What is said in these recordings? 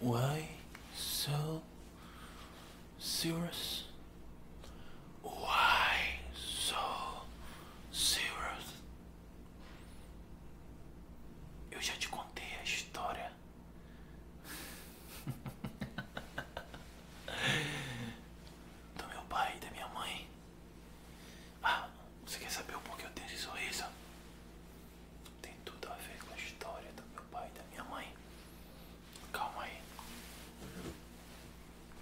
Why so serious? Why so serious? Eu já te contei a história. do meu pai e da minha mãe. Ah, você quer saber o porquê eu tenho esse sorriso? Tem tudo a ver com a história do meu pai e da minha mãe. Calma aí.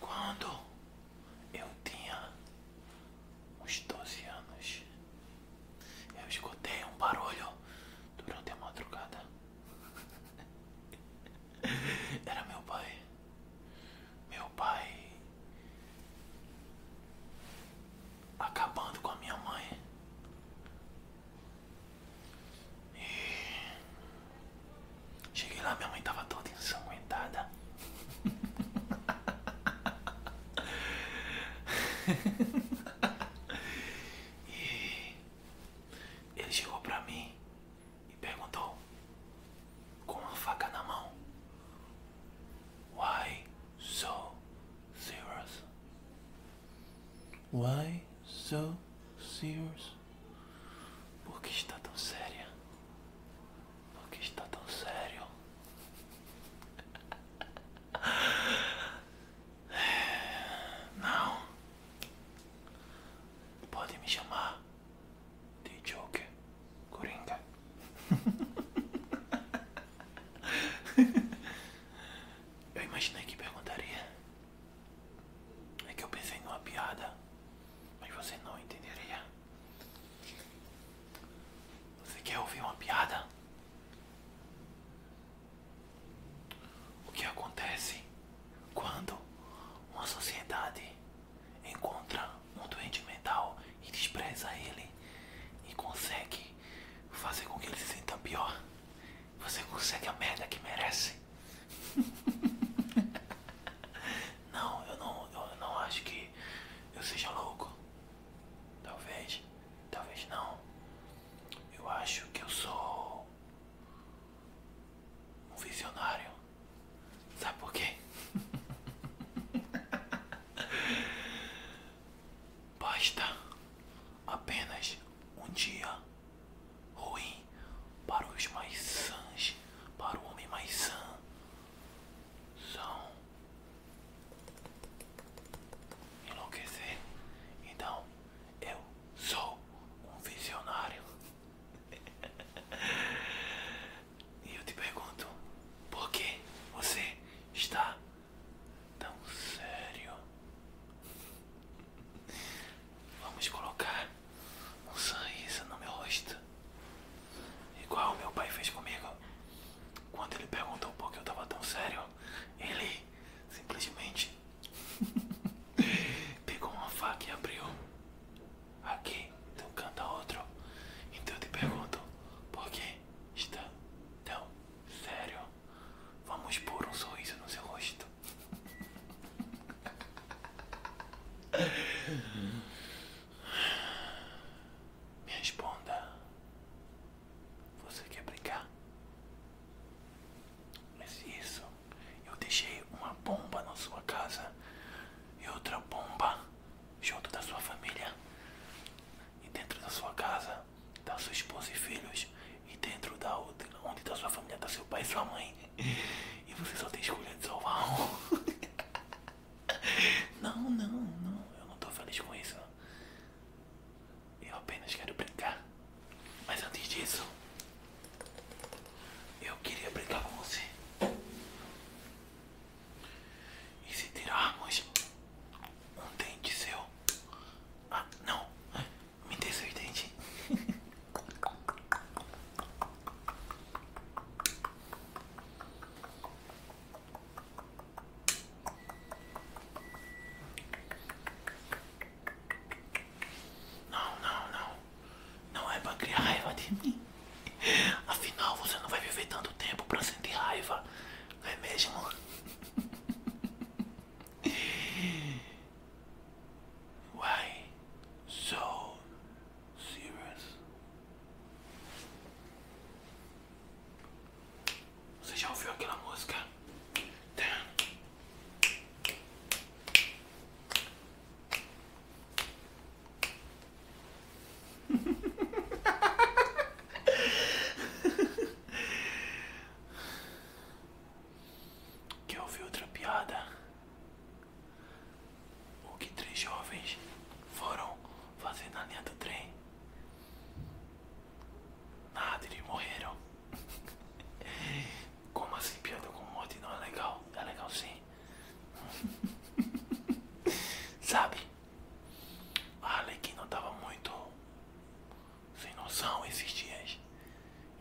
Quando eu tinha uns 12 anos, eu escutei um barulho durante a madrugada. Era meu pai. Meu pai acabando com a minha mãe. E cheguei lá, minha mãe tava toda ensanguentada. e ele chegou pra mim e perguntou com uma faca na mão: Why so serious? Why so serious? Por que está tão séria? Por que está tão sério? É, não, Podem me chamar de Joker Coringa. Eu imaginei que perguntaria. É que eu pensei em uma piada, mas você não entenderia. Você quer ouvir uma piada? O que acontece quando uma sociedade encontra um doente mental e despreza ele e consegue fazer com que ele se sinta pior? Você consegue a merda que merece? não, eu não, eu não acho que eu seja louco. Talvez, talvez não. Eu acho que eu sou um visionário. Sabe por quê? Basta apenas um dia ruim para os mais sãs, para o homem mais sã. São enlouquecer. Então. Eu sou um visionário. e eu te pergunto, por que você está tão sério? Vamos colocar um sorriso no meu rosto. Igual meu pai fez comigo. Quando ele perguntou por que eu estava tão sério, ele simplesmente pegou uma faca e abriu. Aqui, tu canta outro. Então eu te pergunto: por que está tão sério? Vamos pôr um sorriso no seu rosto. Me responda. Você quer brincar? Mas isso, eu deixei uma bomba na sua casa e outra bomba junto da sua família. E dentro da sua casa, da sua esposa e filhos. E dentro da outra, onde da sua família tá seu pai e sua mãe. E você só tem escolha de salvar um. Não, não, não. Eu não tô feliz com isso. Eu apenas quero brincar. Mas antes disso, eu queria brincar com você. E se tirarmos um dente seu? Ah, não. Me dê seus dentes. Não, não, não. Não é pra criar raiva de mim. Afinal, você não vai viver tanto tempo pra sentir raiva. é mesmo? Why so serious? Você já ouviu aquela música? Quer ouvir outra piada? O que três jovens foram fazer na linha do trem? Nada, eles morreram. Como assim, piada com morte não é legal? É legal sim. Sabe? A Alequina tava muito sem noção esses dias.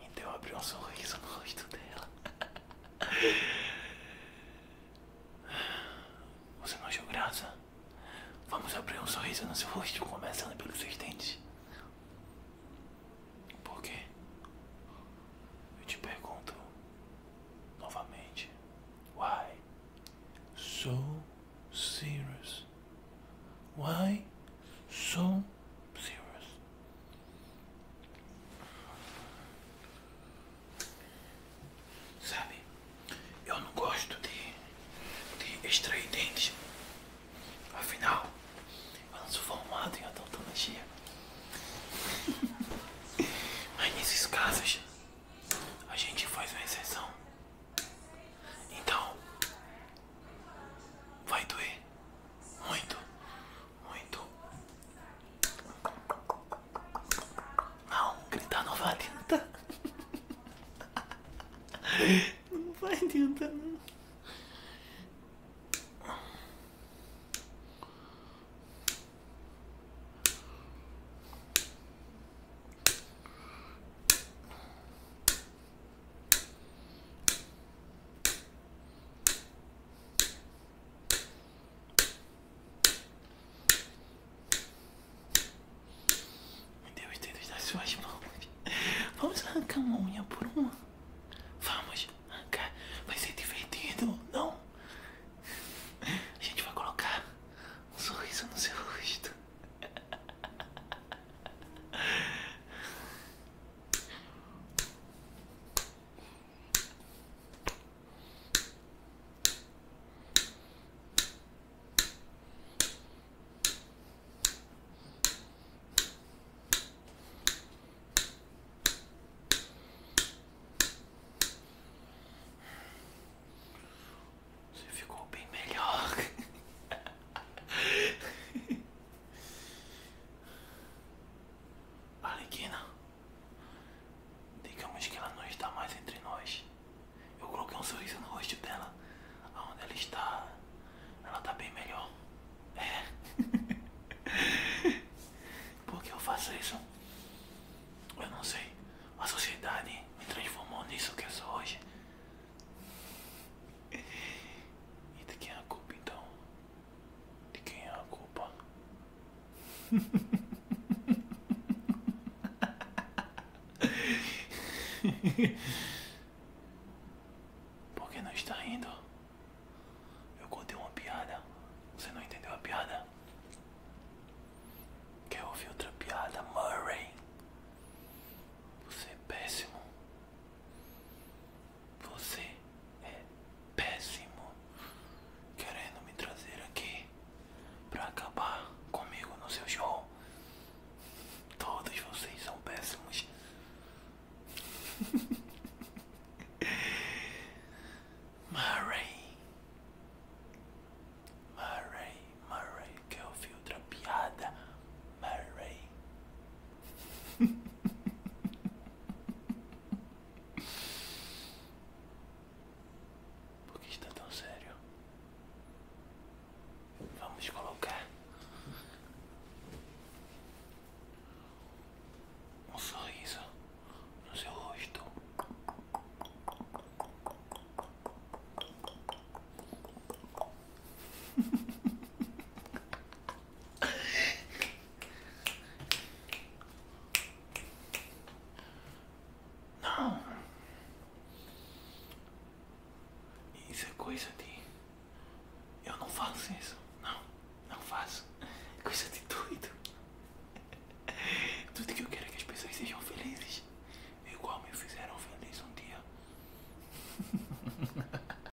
Então eu abri um sorriso no rosto dela. Você não achou graça? Vamos abrir um sorriso no seu rosto, começando pelos seus dentes. Por quê? Eu te pergunto novamente. Why? So serious. Why? So serious. Sabe? Eu não gosto de, de extrair dentes. Afinal, eu não sou formado em odontologia. Mas nesses casos, a gente faz uma exceção. Então, vai doer muito, muito. Não, gritar não vai adiantar. Não vai adiantar, não. Me deu os dedos das suas mãos. Vamos arrancar uma unha por uma. Vamos arrancar. Vai ser divertido, não? A gente vai colocar um sorriso no seu rosto. Você ficou bem melhor. Alequina. Digamos que ela não está mais entre nós. Eu coloquei um sorriso no rosto dela. Aonde ela está, ela está bem melhor. É. Por que eu faço isso? Eu não sei. A sociedade me transformou nisso que eu sou hoje. E de quem é a culpa então? De quem é a culpa? Por que não está rindo? Eu contei uma piada. Você não entendeu a piada? Quer ouvir outra piada, Murray? Você é péssimo. Você é péssimo querendo me trazer aqui para acabar comigo no seu show. Todos vocês são péssimos. Murray. Murray, Murray, que eu vi outra piada. Murray. Por que está tão sério? Vamos colocar um sorriso no seu rosto. Não. Isso é coisa de. Eu não faço isso. Não, não faço. É coisa de doido. Tudo que eu quero é que as pessoas sejam felizes. Igual me fizeram feliz um dia.